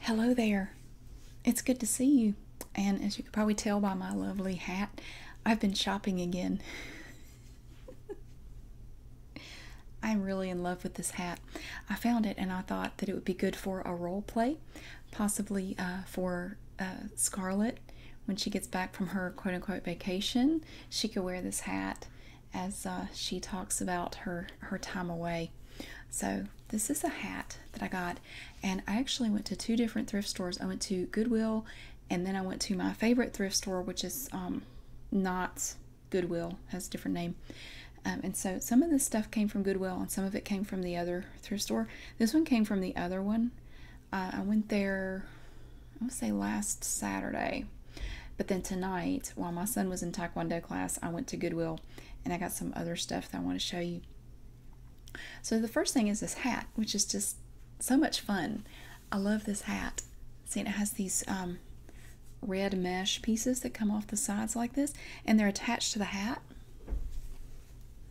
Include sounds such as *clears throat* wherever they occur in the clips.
Hello there. It's good to see you. And as you can probably tell by my lovely hat, I've been shopping again. *laughs* I'm really in love with this hat. I found it and I thought that it would be good for a role play, possibly uh, for uh, Scarlet. When she gets back from her quote unquote vacation, she could wear this hat as uh, she talks about her her time away. So this is a hat that I got, and I actually went to two different thrift stores. I went to Goodwill, and then I went to my favorite thrift store, which is um, not Goodwill, has a different name. Um, and so some of this stuff came from Goodwill, and some of it came from the other thrift store. This one came from the other one. Uh, I went there, I would say last Saturday. But then tonight, while my son was in Taekwondo class, I went to Goodwill and I got some other stuff that I want to show you. So the first thing is this hat, which is just so much fun. I love this hat. See, it has these um, red mesh pieces that come off the sides like this, and they're attached to the hat.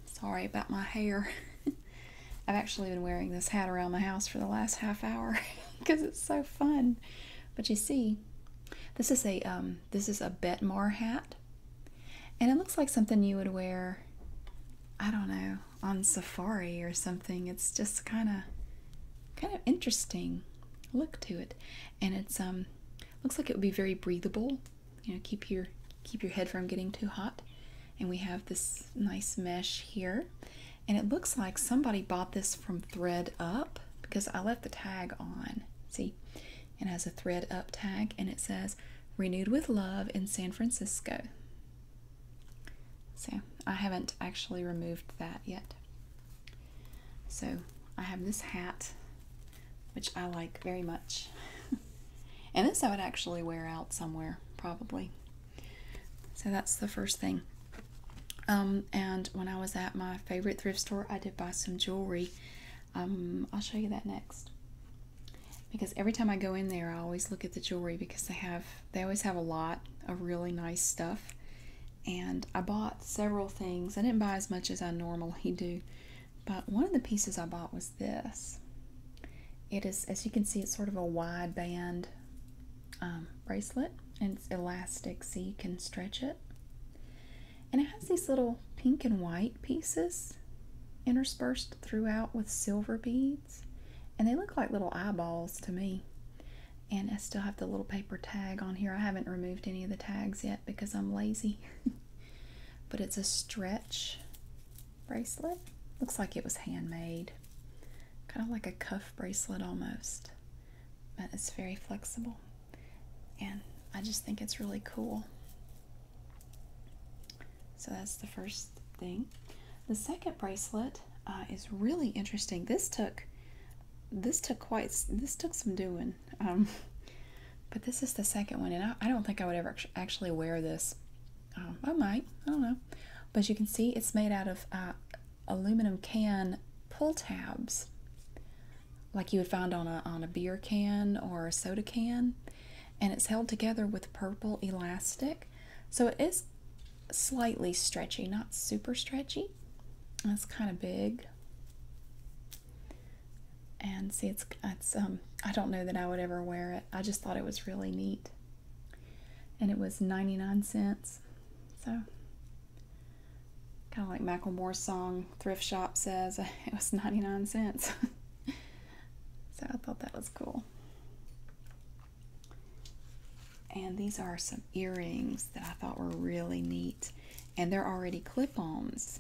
Sorry about my hair. *laughs* I've actually been wearing this hat around my house for the last half hour because *laughs* it's so fun. But you see, this is a um, this is a Betmar hat, and it looks like something you would wear, I don't know, on safari or something. It's just kind of, kind of interesting look to it, and it's um, looks like it would be very breathable. You know, keep your keep your head from getting too hot. And we have this nice mesh here, and it looks like somebody bought this from Thread Up because I left the tag on. See, it has a thread up tag and it says renewed with love in San Francisco. So I haven't actually removed that yet. So I have this hat, which I like very much. *laughs* and this I would actually wear out somewhere, probably. So that's the first thing. Um, and when I was at my favorite thrift store, I did buy some jewelry. Um, I'll show you that next. Because every time I go in there, I always look at the jewelry because they have they always have a lot of really nice stuff. And I bought several things. I didn't buy as much as I normally do, but one of the pieces I bought was this. It is, as you can see, it's sort of a wide band um, bracelet and it's elastic so you can stretch it. And it has these little pink and white pieces interspersed throughout with silver beads. And they look like little eyeballs to me. And I still have the little paper tag on here. I haven't removed any of the tags yet because I'm lazy. *laughs* but it's a stretch bracelet. Looks like it was handmade. Kind of like a cuff bracelet almost but it's very flexible and I just think it's really cool. So that's the first thing. The second bracelet uh, is really interesting. This took this took quite this took some doing, um, *laughs* but this is the second one, and I, don't think I would ever actually wear this. Um, I might, I don't know. But you can see it's made out of uh, aluminum can pull tabs like you would find on a on a beer can or a soda can and it's held together with purple elastic so it is slightly stretchy not super stretchy That's kind of big and see it's it's um I don't know that I would ever wear it I just thought it was really neat and it was 99 cents so kind of like Macklemore's song Thrift Shop says, *laughs* it was 99 cents. *laughs* so I thought that was cool. And these are some earrings that I thought were really neat. And they're already clip-ons.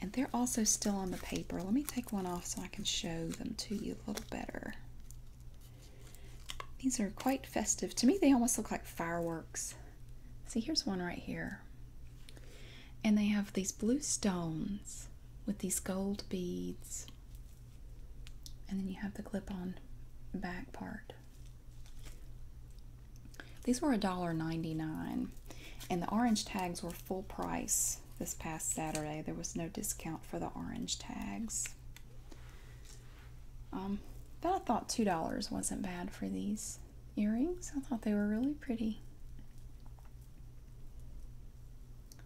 And they're also still on the paper. Let me take one off so I can show them to you a little better. These are quite festive. To me, they almost look like fireworks. See, here's one right here. And they have these blue stones with these gold beads. And then you have the clip on back part. These were $1.99. And the orange tags were full price this past Saturday. There was no discount for the orange tags. Um, but I thought $2 wasn't bad for these earrings. I thought they were really pretty.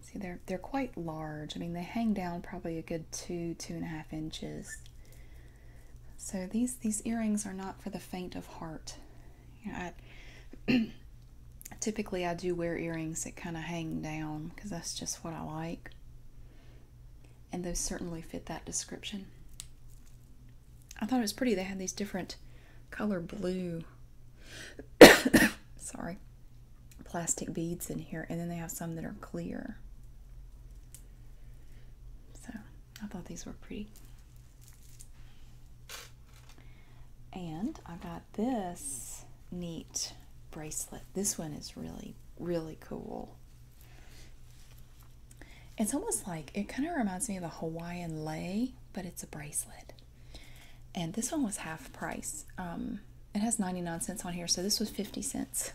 See, they're they're quite large. I mean, they hang down probably a good two, two and a half inches. So these these earrings are not for the faint of heart. I, *clears throat* typically I do wear earrings that kind of hang down because that's just what I like and those certainly fit that description. I thought it was pretty. They had these different color blue, *coughs* sorry, plastic beads in here, and then they have some that are clear. So I thought these were pretty. And I got this neat bracelet. This one is really, really cool. It's almost like it kind of reminds me of a Hawaiian lei, but it's a bracelet. And this one was half price. Um, it has 99 cents on here, so this was 50 cents.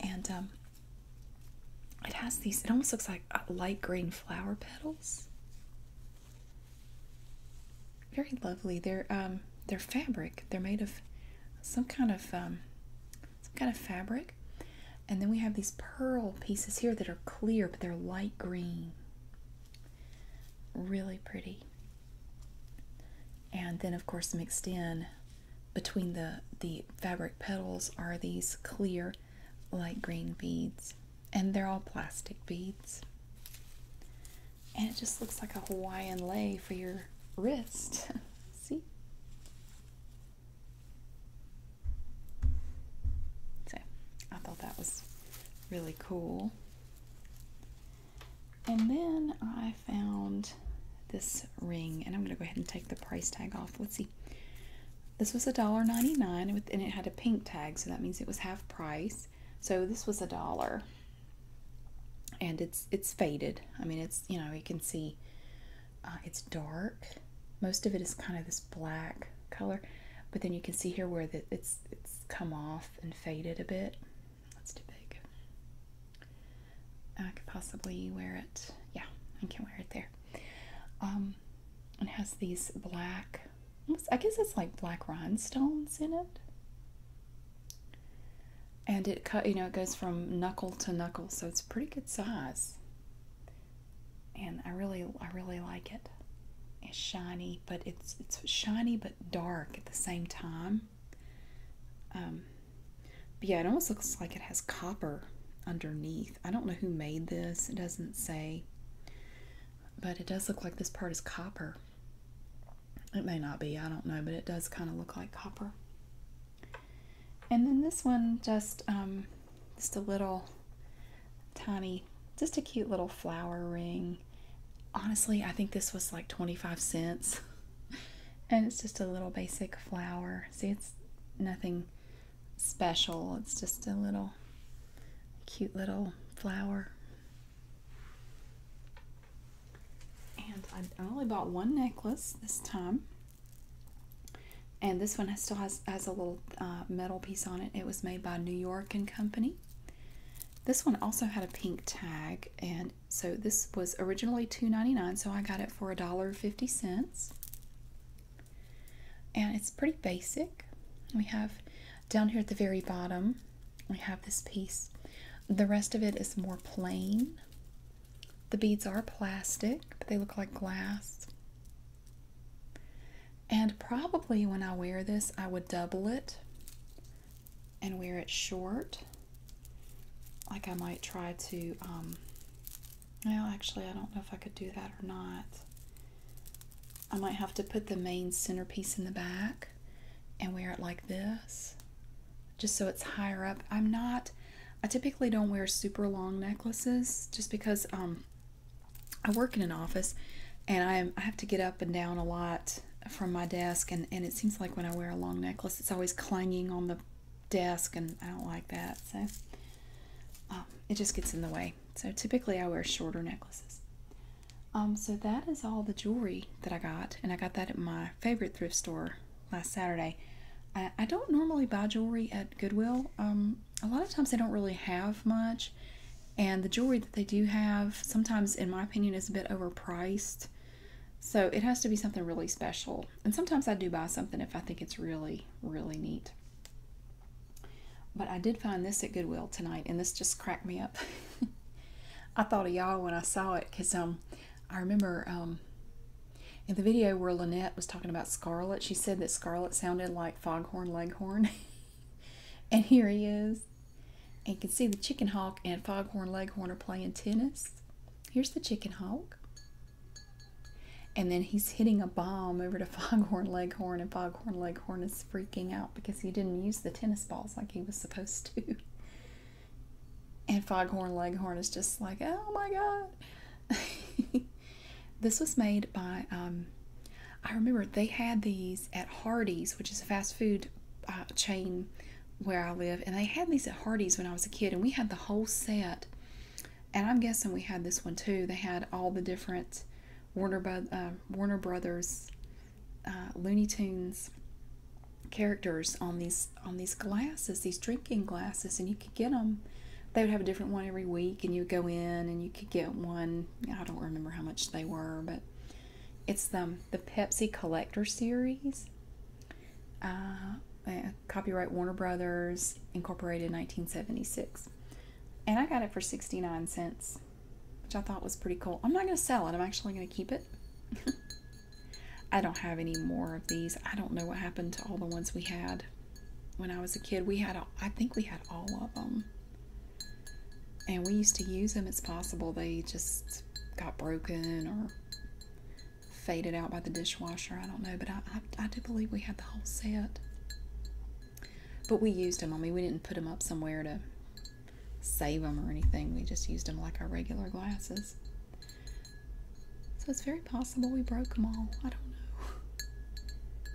and um, it has these, it almost looks like uh, light green flower petals. Very lovely. They're um, they're fabric. They're made of some kind of some kind of fabric. And then we have these pearl pieces here that are clear, but they're light green. Really pretty. And then, of course, mixed in between the, the fabric petals are these clear light green beads. And they're all plastic beads. And it just looks like a Hawaiian lei for your wrist. *laughs* See? So I thought that was really cool. And then I found this ring, and I'm going to go ahead and take the price tag off. Let's see. This was a dollar ninety-nine, and it had a pink tag, so that means it was half price. So this was a dollar and it's it's faded. I mean, it's you know you can see uh, it's dark. Most of it is kind of this black color, but then you can see here where the, it's it's come off and faded a bit. That's too big. I could possibly wear it. Yeah, I can wear it there. Um, it has these black. I guess it's like black rhinestones in it and it cut you know it goes from knuckle to knuckle so it's pretty good size and i really i really like it it's shiny but it's it's shiny but dark at the same time um but yeah it almost looks like it has copper underneath i don't know who made this it doesn't say but it does look like this part is copper it may not be i don't know but it does kind of look like copper and then this one, just um, just a little tiny, just a cute little flower ring. Honestly, I think this was like 25 cents. *laughs* and it's just a little basic flower. See, it's nothing special. It's just a little cute little flower. And I only bought one necklace this time. And this one has, still has, has a little uh, metal piece on it. It was made by New York and Company. This one also had a pink tag, and so this was originally $2.99, so I got it for $1.50. And it's pretty basic. We have down here at the very bottom, we have this piece. The rest of it is more plain. The beads are plastic, but they look like glass. And probably when I wear this, I would double it and wear it short. Like I might try to, um, well, actually, I don't know if I could do that or not. I might have to put the main centerpiece in the back and wear it like this just so it's higher up. I'm not, I typically don't wear super long necklaces just because um, I work in an office and I, have to get up and down a lot from my desk and, it seems like when I wear a long necklace it's always clanging on the desk and I don't like that so um, it just gets in the way so typically I wear shorter necklaces um, so that is all the jewelry that I got and I got that at my favorite thrift store last Saturday. I, don't normally buy jewelry at Goodwill. Um, a lot of times they don't really have much, and the jewelry that they do have, sometimes, in my opinion, is a bit overpriced. So it has to be something really special. And sometimes I do buy something if I think it's really, really neat. But I did find this at Goodwill tonight, and this just cracked me up. *laughs* I thought of y'all when I saw it because um, I remember um, in the video where Lynette was talking about Scarlet, she said that Scarlet sounded like Foghorn Leghorn. *laughs* and here he is. And you can see the chicken hawk and Foghorn Leghorn are playing tennis. Here's the chicken hawk. And then he's hitting a ball over to *laughs* Foghorn Leghorn, and Foghorn Leghorn is freaking out because he didn't use the tennis balls like he was supposed to. *laughs* And Foghorn Leghorn is just like, oh my god. *laughs* this was made by, um, I remember they had these at Hardee's, which is a fast food uh, chain where I live. And they had these at Hardee's when I was a kid, and we had the whole set. And I'm guessing we had this one too. They had all the different Warner, uh, Warner Brothers uh, Looney Tunes characters on these on these glasses, these drinking glasses, and you could get them. They would have a different one every week, and you would go in and you could get one. I don't remember how much they were, but it's the the Pepsi Collector Series. Uh, eh, copyright Warner Brothers Incorporated, 1976, and I got it for 69 cents, which I thought was pretty cool. I'm not going to sell it. I'm actually going to keep it. *laughs* I don't have any more of these. I don't know what happened to all the ones we had when I was a kid. We had, all, I think we had all of them. And we used to use them. It's possible they just got broken or faded out by the dishwasher. I don't know, but I, I do believe we had the whole set. But we used them. I mean, we didn't put them up somewhere to save them or anything. We just used them like our regular glasses. So it's very possible we broke them all. I don't know.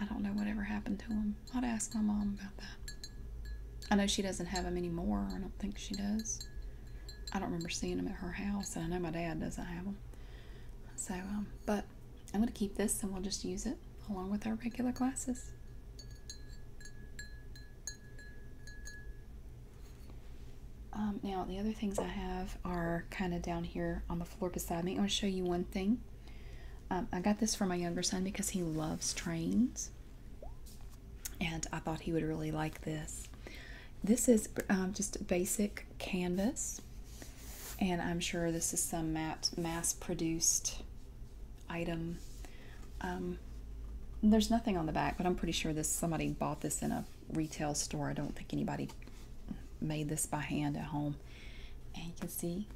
I don't know whatever happened to them. I'd ask my mom about that. I know she doesn't have them anymore. I don't think she does. I don't remember seeing them at her house, and I know my dad doesn't have them. So, um, but I'm going to keep this and we'll just use it along with our regular glasses. Um, now, the other things I have are kind of down here on the floor beside me. I'm going to show you one thing. Um, I got this for my younger son because he loves trains, and I thought he would really like this. This is um, just basic canvas, and I'm sure this is some mass-produced item um, there's nothing on the back, but I'm pretty sure this somebody bought this in a retail store. I don't think anybody made this by hand at home. And you can see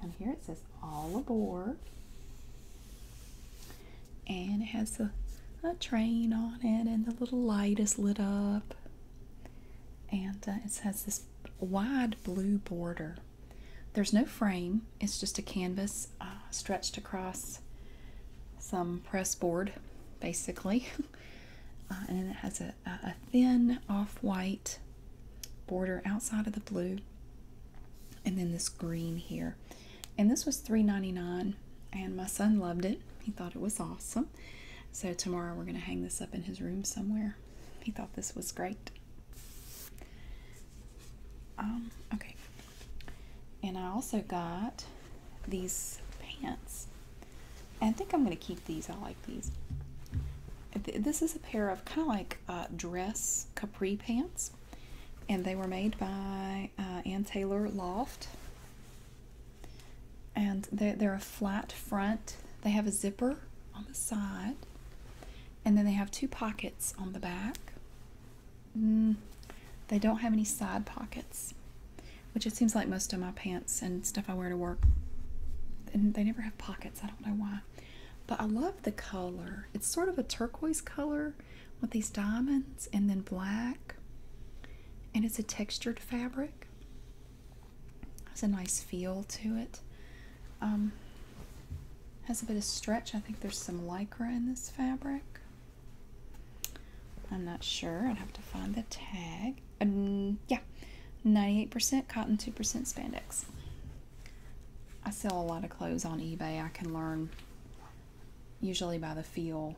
down here it says all aboard. And it has a, train on it, and the little light is lit up. And uh, it has this wide blue border. There's no frame, it's just a canvas uh, stretched across some press board basically *laughs* uh, and it has a, thin off-white border outside of the blue and then this green here and this was $3.99 and my son loved it he thought it was awesome so tomorrow we're going to hang this up in his room somewhere he thought this was great um, okay and I also got these pants. I think I'm going to keep these. I like these. This is a pair of kind of like uh, dress capri pants. And they were made by uh, Ann Taylor Loft. And they're a flat front. They have a zipper on the side. And then they have two pockets on the back. Mm, they don't have any side pockets, which it seems like most of my pants and stuff I wear to work. And they never have pockets. I don't know why. But I love the color. It's sort of a turquoise color with these diamonds and then black. And it's a textured fabric. Has a nice feel to it. Um, has a bit of stretch. I think there's some lycra in this fabric. I'm not sure. I'd have to find the tag. Um, yeah, 98% cotton, 2% spandex. I sell a lot of clothes on eBay. I can learn usually by the feel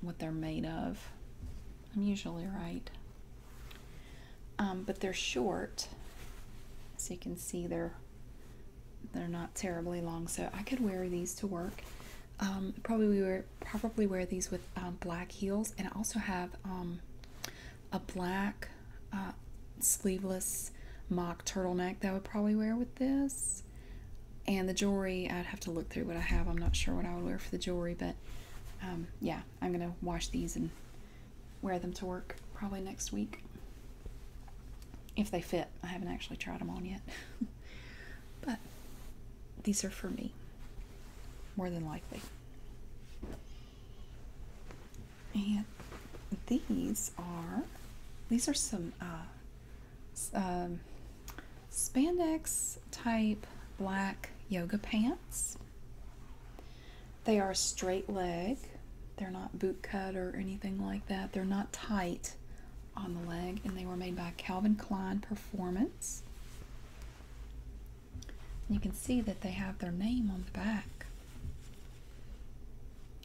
what they're made of. I'm usually right. Um, but they're short. So you can see they're they're not terribly long, so I could wear these to work. Um, probably wear probably wear these with um, black heels, and I also have um, a black uh, sleeveless mock turtleneck that I would probably wear with this. And the jewelry, I'd have to look through what I have. I'm not sure what I would wear for the jewelry, but yeah, I'm gonna wash these and wear them to work probably next week if they fit. I haven't actually tried them on yet. *laughs* but these are for me, more than likely. And these are these are some uh, um, spandex type black yoga pants. They are straight leg. They're not boot cut or anything like that. They're not tight on the leg, and they were made by Calvin Klein Performance. you can see that they have their name on the back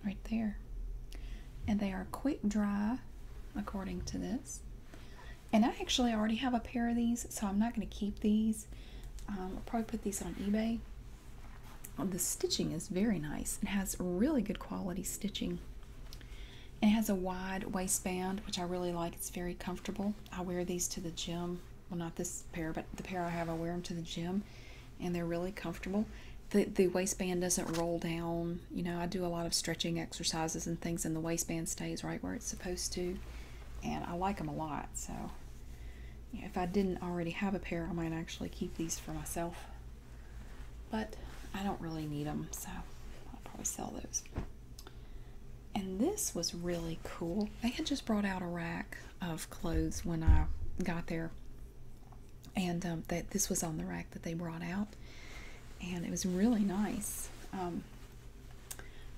right there. And they are quick dry, according to this. And I actually already have a pair of these, so I'm not going to keep these. Um, I'll probably put these on eBay. the stitching is very nice. It has really good quality stitching. It has a wide waistband, which I really like. It's very comfortable. I wear these to the gym. Well, not this pair, but the pair I have, I wear them to the gym, and they're really comfortable. The, waistband doesn't roll down. You know, I do a lot of stretching exercises and things, and the waistband stays right where it's supposed to. And I like them a lot, so if I didn't already have a pair, I might actually keep these for myself. But I don't really need them, so I'll probably sell those. And this was really cool. They had just brought out a rack of clothes when I got there. And um, that this was on the rack that they brought out. And it was really nice. Um,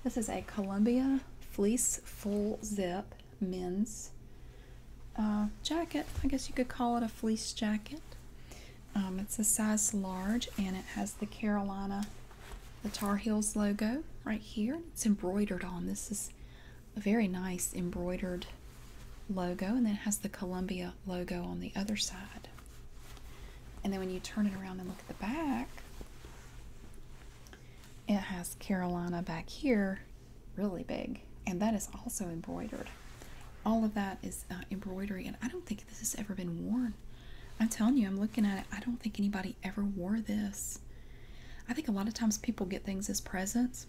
this is a Columbia fleece full zip men's uh, jacket. I guess you could call it a fleece jacket. Um, it's a size large and it has the Carolina, the Tar Heels logo right here. It's embroidered on. This is a very nice embroidered logo and then it has the Columbia logo on the other side. And then when you turn it around and look at the back, it has Carolina back here really big and that is also embroidered. All of that is uh, embroidery, and I don't think this has ever been worn. I'm telling you, I'm looking at it. I don't think anybody ever wore this. I think a lot of times people get things as presents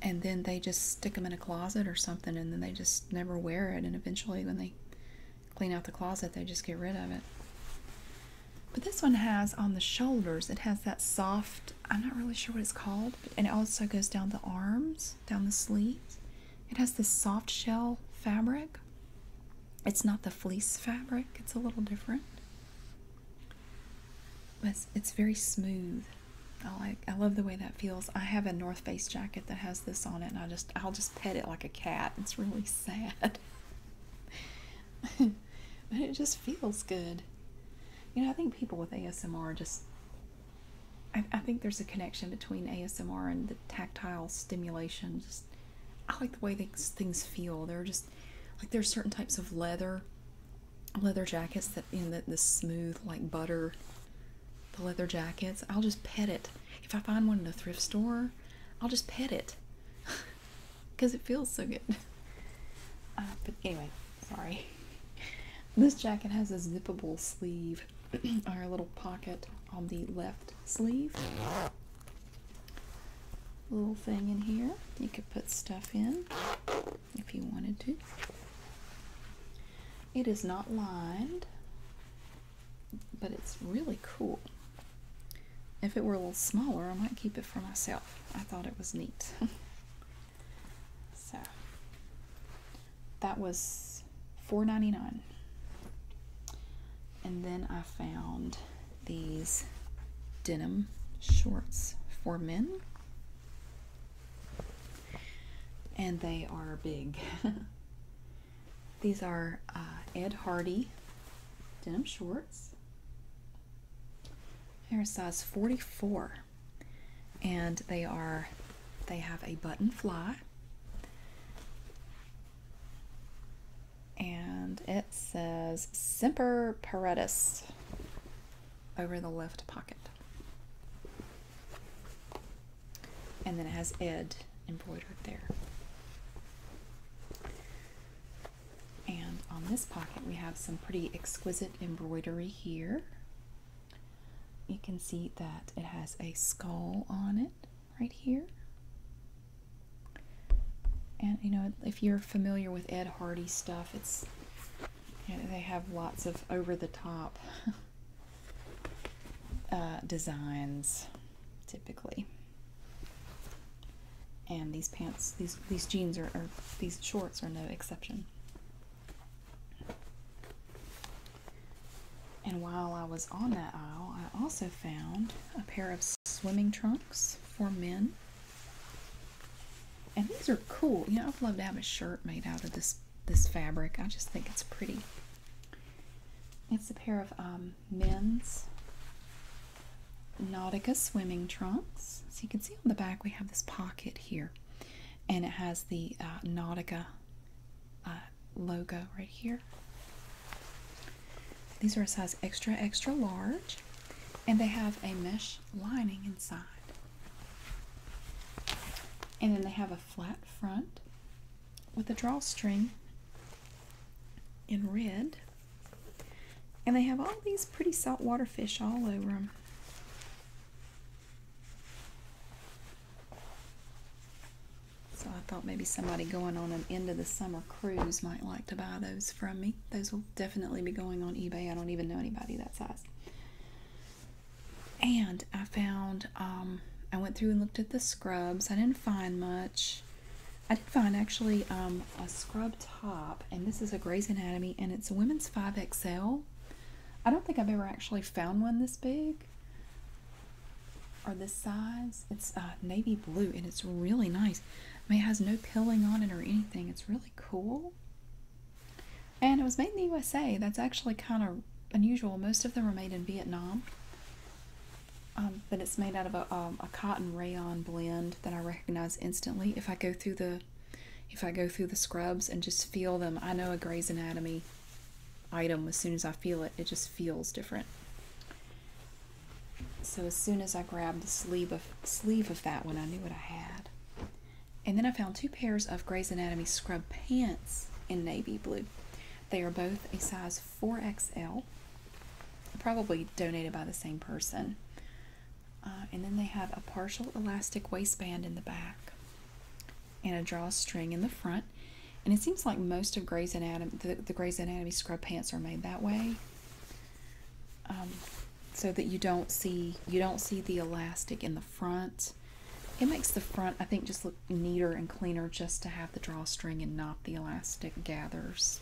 and then they just stick them in a closet or something and then they just never wear it and eventually when they clean out the closet they just get rid of it but this one has on the shoulders it has that soft i'm not really sure what it's called and it also goes down the arms, down the sleeves. It has this soft shell fabric. It's not the fleece fabric, it's a little different. But it's, it's very smooth. I like I love the way that feels. I have a North Face jacket that has this on it and I just I'll just pet it like a cat. It's really *laughs* sad. *laughs* but it just feels good. You know, I think people with ASMR just I, think there's a connection between ASMR and the tactile stimulation. Just I like the way these things feel. They're just like there's certain types of leather, leather jackets that in the, the smooth like butter, the leather jackets. I'll just pet it. If I find one in a thrift store, I'll just pet it because *laughs* it feels so good. Uh, but anyway, Sorry. This jacket has a zippable sleeve *clears throat* or a little pocket on the left sleeve. Little thing in here. You could put stuff in if you wanted to. It is not lined, but it's really cool. If it were a little smaller, I might keep it for myself. I thought it was neat. *laughs* So that was $4.99. And then I found these denim shorts for men. And they are big. *laughs* These are uh, Ed Hardy denim shorts. they size 44 and they are they have a button fly and it says Semper Paratus over the left pocket. And then it has Ed embroidered there. And on this pocket we have some pretty exquisite embroidery here. You can see that it has a skull on it right here. And you know, if you're familiar with Ed Hardy stuff, it's they have lots of over the top *laughs* uh, designs typically. And these pants, these these jeans are, are these shorts are no exception. And while I was on that aisle, I also found a pair of swimming trunks for men. And these are cool. You know, i would love to have a shirt made out of this this fabric. I just think it's pretty. It's a pair of um, men's Nautica swimming trunks. So you can see on the back we have this pocket here and it has the uh, Nautica uh, logo right here. These are a size extra, extra large, and they have a mesh lining inside. And then they have a flat front with a drawstring in red. And they have all these pretty saltwater fish all over them. So I thought maybe somebody going on an end of the summer cruise might like to buy those from me. Those will definitely be going on eBay. I don't even know anybody that size. And I found, um, I went through and looked at the scrubs. I didn't find much. I did find actually um, a scrub top, and this is a Grey's Anatomy, and it's a women's 5XL. I don't think I've ever actually found one this big or this size. It's uh, navy blue and it's really nice. I mean, it has no pilling on it or anything. It's really cool. And it was made in the USA. That's actually kind of unusual. Most of them are made in Vietnam. Um, but it's made out of um, a cotton rayon blend that I recognize instantly. If I go through the if I go through the scrubs and just feel them, I know a Grey's Anatomy item as soon as I feel it, it just feels different. So as soon as I grabbed the sleeve of sleeve of that one, I knew what I had. And then I found two pairs of Grey's Anatomy scrub pants in navy blue. They are both a size 4XL, probably donated by the same person. Uh, and then they have a partial elastic waistband in the back and a drawstring in the front. And it seems like most of Grey's Anatomy, the, gray's Anatomy scrub pants are made that way. Um, so that you don't see you don't see the elastic in the front. It makes the front I think just look neater and cleaner just to have the drawstring and not the elastic gathers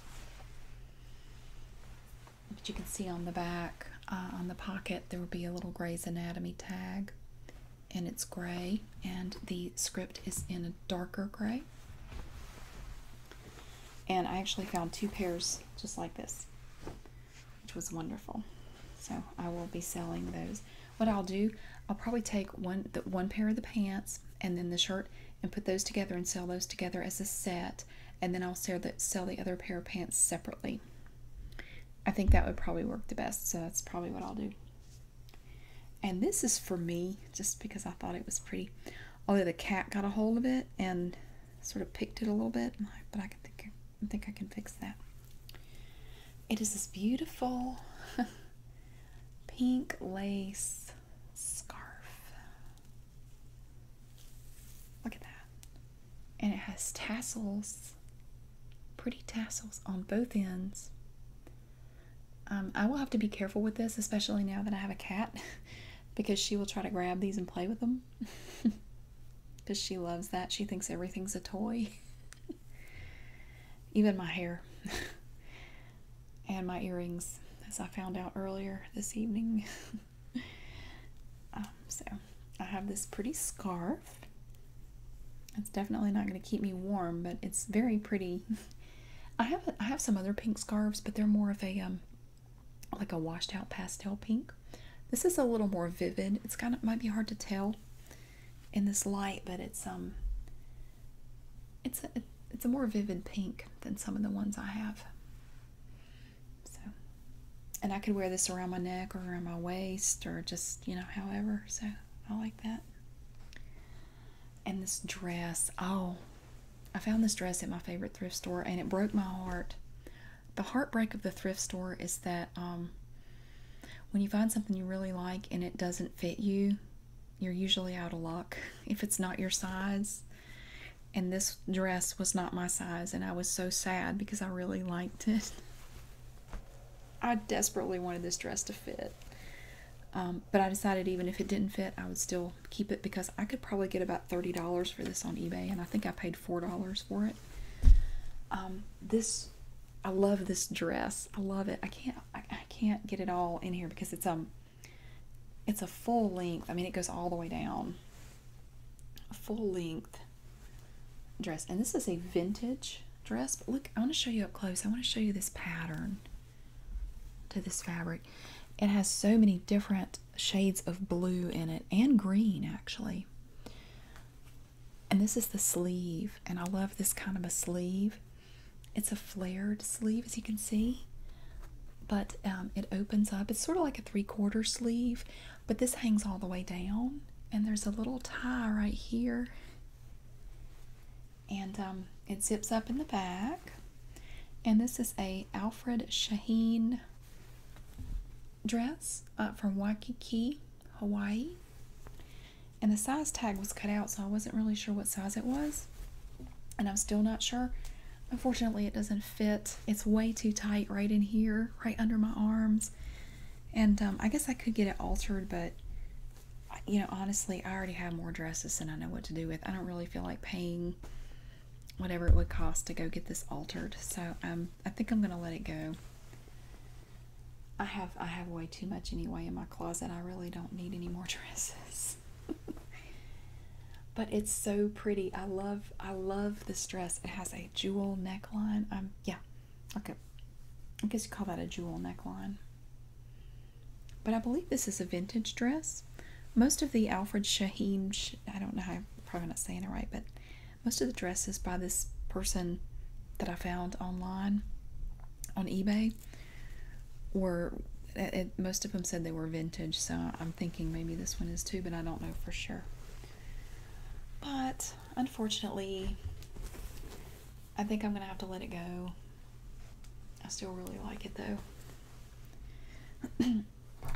but you can see on the back uh, on the pocket there will be a little Gray's Anatomy tag and it's gray and the script is in a darker gray and I actually found two pairs just like this which was wonderful so I will be selling those what I'll do I'll probably take one one pair of the pants and then the shirt and put those together and sell those together as a set and then I'll sell the, sell the other pair of pants separately I think that would probably work the best, so that's probably what I'll do. And this is for me, just because I thought it was pretty. Although the cat got a hold of it and sort of picked it a little bit, but I can think I think I can fix that. It is this beautiful *laughs* pink lace scarf. Look at that and it has tassels, pretty tassels on both ends. Um, I will have to be careful with this, especially now that I have a cat, *laughs* because she will try to grab these and play with them. Because *laughs* she loves that. She thinks everything's a toy, *laughs* even my hair and my earrings, as I found out earlier this evening. *laughs* Um, so I have this pretty scarf. It's definitely not going to keep me warm, but it's very pretty. *laughs* I have a, I have some other pink scarves, but they're more of a um like a washed out pastel pink. This is a little more vivid. It's kind of might be hard to tell in this light, but it's um it's a it's a more vivid pink than some of the ones I have. So, and I could wear this around my neck or around my waist or just, you know, however. So, I like that. And this dress, oh, I found this dress at my favorite thrift store and it broke my heart. The heartbreak of the thrift store is that um, when you find something you really like and it doesn't fit you, you're usually out of luck *laughs* if it's not your size. And this dress was not my size, and I was so sad because I really liked it. I desperately wanted this dress to fit. Um, but I decided even if it didn't fit, I would still keep it because I could probably get about $30 for this on eBay, and I think I paid $4 for it. Um, this, I love this dress. I love it. I can't, I can't get it all in here because it's um, it's a full length. I mean, it goes all the way down full length dress. And this is a vintage dress. But look, I want to show you up close. I want to show you this pattern to this fabric. It has so many different shades of blue in it and green actually. And this is the sleeve, and I love this kind of a sleeve. It's a flared sleeve, as you can see, but um, it opens up. It's sort of like a three quarter sleeve, but this hangs all the way down, and there's a little tie right here, and um, it zips up in the back. And this is a Alfred Shaheen dress from Waikiki, Hawaii. And the size tag was cut out, so I wasn't really sure what size it was. And I'm still not sure. Unfortunately, it doesn't fit. It's way too tight right in here, right under my arms. And um, I guess I could get it altered, but you know, honestly, I already have more dresses and I know what to do with. I don't really feel like paying whatever it would cost to go get this altered. So um, I think I'm gonna let it go. I have I have way too much anyway in my closet. I really don't need any more *laughs* dresses. but it's so pretty. I love I love this dress. It has a jewel neckline. Um, yeah, okay. I guess you call that a jewel neckline. But I believe this is a vintage dress. Most of the Alfred Shahim. I don't know, I'm probably not saying it right, but most of the dresses by this person that I found online on eBay were, most of them said they were vintage, so I'm thinking maybe this one is too, but I don't know for sure. But unfortunately, I think I'm going to have to let it go. I still really like it though. *clears throat*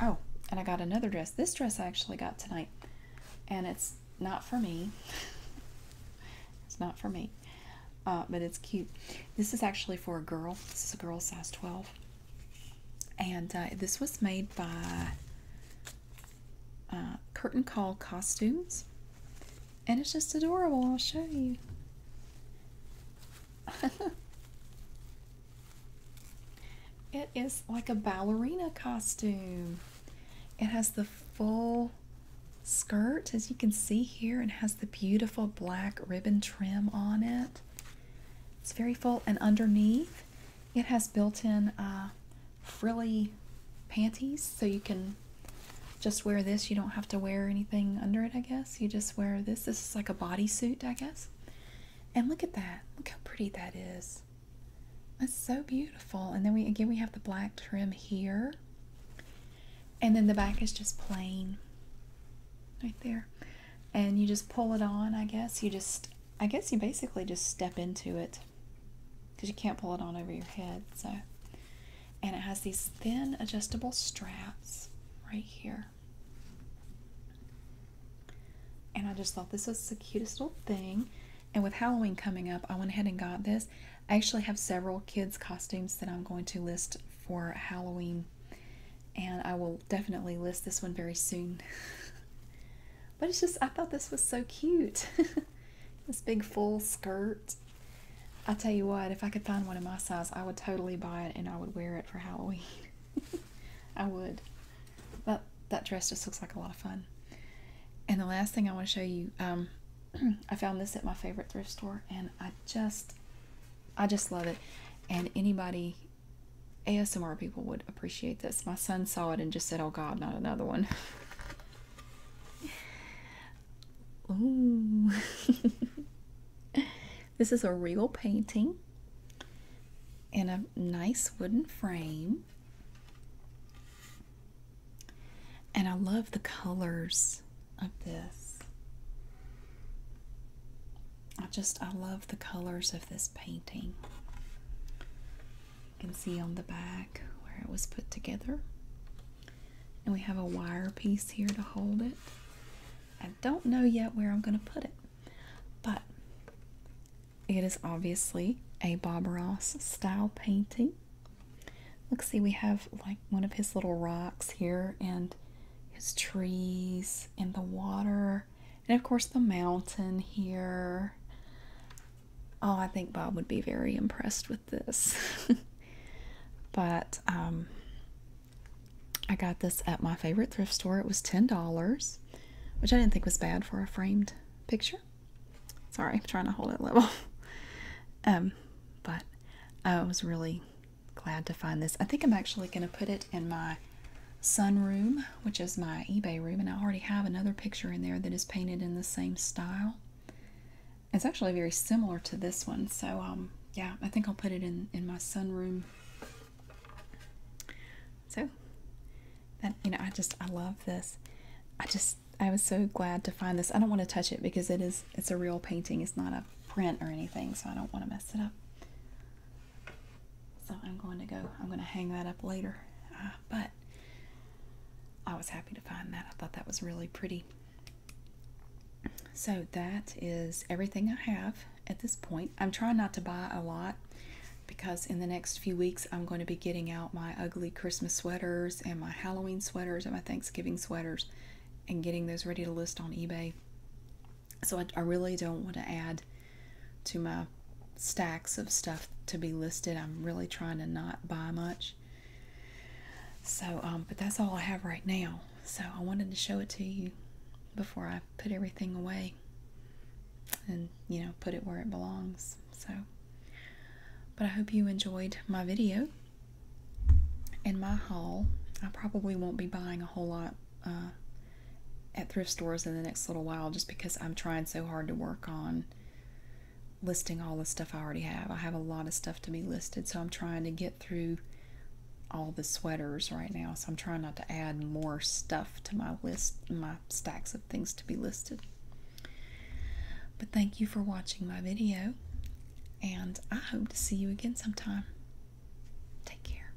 oh, and I got another dress. This dress I actually got tonight, and it's not for me. *laughs* it's not for me, uh, but it's cute. This is actually for a girl. This is a girl size 12. And uh, this was made by uh, Curtain Call Costumes. And it's just adorable. I'll show you. *laughs* it is like a ballerina costume. It has the full skirt, as you can see here, and has the beautiful black ribbon trim on it. It's very full, and underneath it has built-in uh, frilly panties, so you can just wear this. You don't have to wear anything under it, I guess. You just wear this. This is like a bodysuit, I guess. And look at that. Look how pretty that is. That's so beautiful. And then we again we have the black trim here. And then the back is just plain. Right there. And you just pull it on, I guess. You just I guess you basically just step into it because you can't pull it on over your head. So, and it has these thin adjustable straps right here. And I just thought this was the cutest little thing. And with Halloween coming up, I went ahead and got this. I actually have several kids' costumes that I'm going to list for Halloween. And I will definitely list this one very soon. *laughs* But it's just, I thought this was so cute. *laughs* this big full skirt. I tell you what, if I could find one in my size, I would totally buy it and I would wear it for Halloween. *laughs* I would. That, that dress just looks like a lot of fun. And the last thing I want to show you, um, *clears throat* I found this at my favorite thrift store and I just, I just love it. And anybody ASMR people would appreciate this. My son saw it and just said, Oh God, not another one. *laughs* Ooh. *laughs* this is a real painting in a nice wooden frame. And I love the colors of this. I just I love the colors of this painting. You can see on the back where it was put together. And we have a wire piece here to hold it. I don't know yet where I'm going to put it, but it is obviously a Bob Ross style painting. Look, see, we have like one of his little rocks here and his trees and the water and of course, the mountain here. Oh, I think Bob would be very impressed with this. *laughs* but um, I got this at my favorite thrift store. It was $10, which I didn't think was bad for a framed picture. Sorry, trying to hold it level. *laughs* um, but I was really glad to find this. I think I'm actually going to put it in my sunroom, which is my eBay room, and I already have another picture in there that is painted in the same style. It's actually very similar to this one, so um, yeah, I think I'll put it in, in my sunroom. So, that, you know, I just, I love this. I just, I was so glad to find this. I don't want to touch it because it is, it's a real painting. It's not a print or anything, so I don't want to mess it up. So I'm going to go, I'm going to hang that up later. Uh, but I was happy to find that. I thought that was really pretty. So that is everything I have at this point. I'm trying not to buy a lot because in the next few weeks I'm going to be getting out my ugly Christmas sweaters and my Halloween sweaters and my Thanksgiving sweaters and getting those ready to list on eBay. So I, really don't want to add to my stacks of stuff to be listed. I'm really trying to not buy much. So, um, but that's all I have right now. So I wanted to show it to you before I put everything away and, you know, put it where it belongs. So, but I hope you enjoyed my video and my haul. I probably won't be buying a whole lot uh, at thrift stores in the next little while just because I'm trying so hard to work on listing all the stuff I already have. I have a lot of stuff to be listed, so I'm trying to get through all the sweaters right now. So I'm trying not to add more stuff to my list, my stacks of things to be listed. But thank you for watching my video, and I hope to see you again sometime. Take care.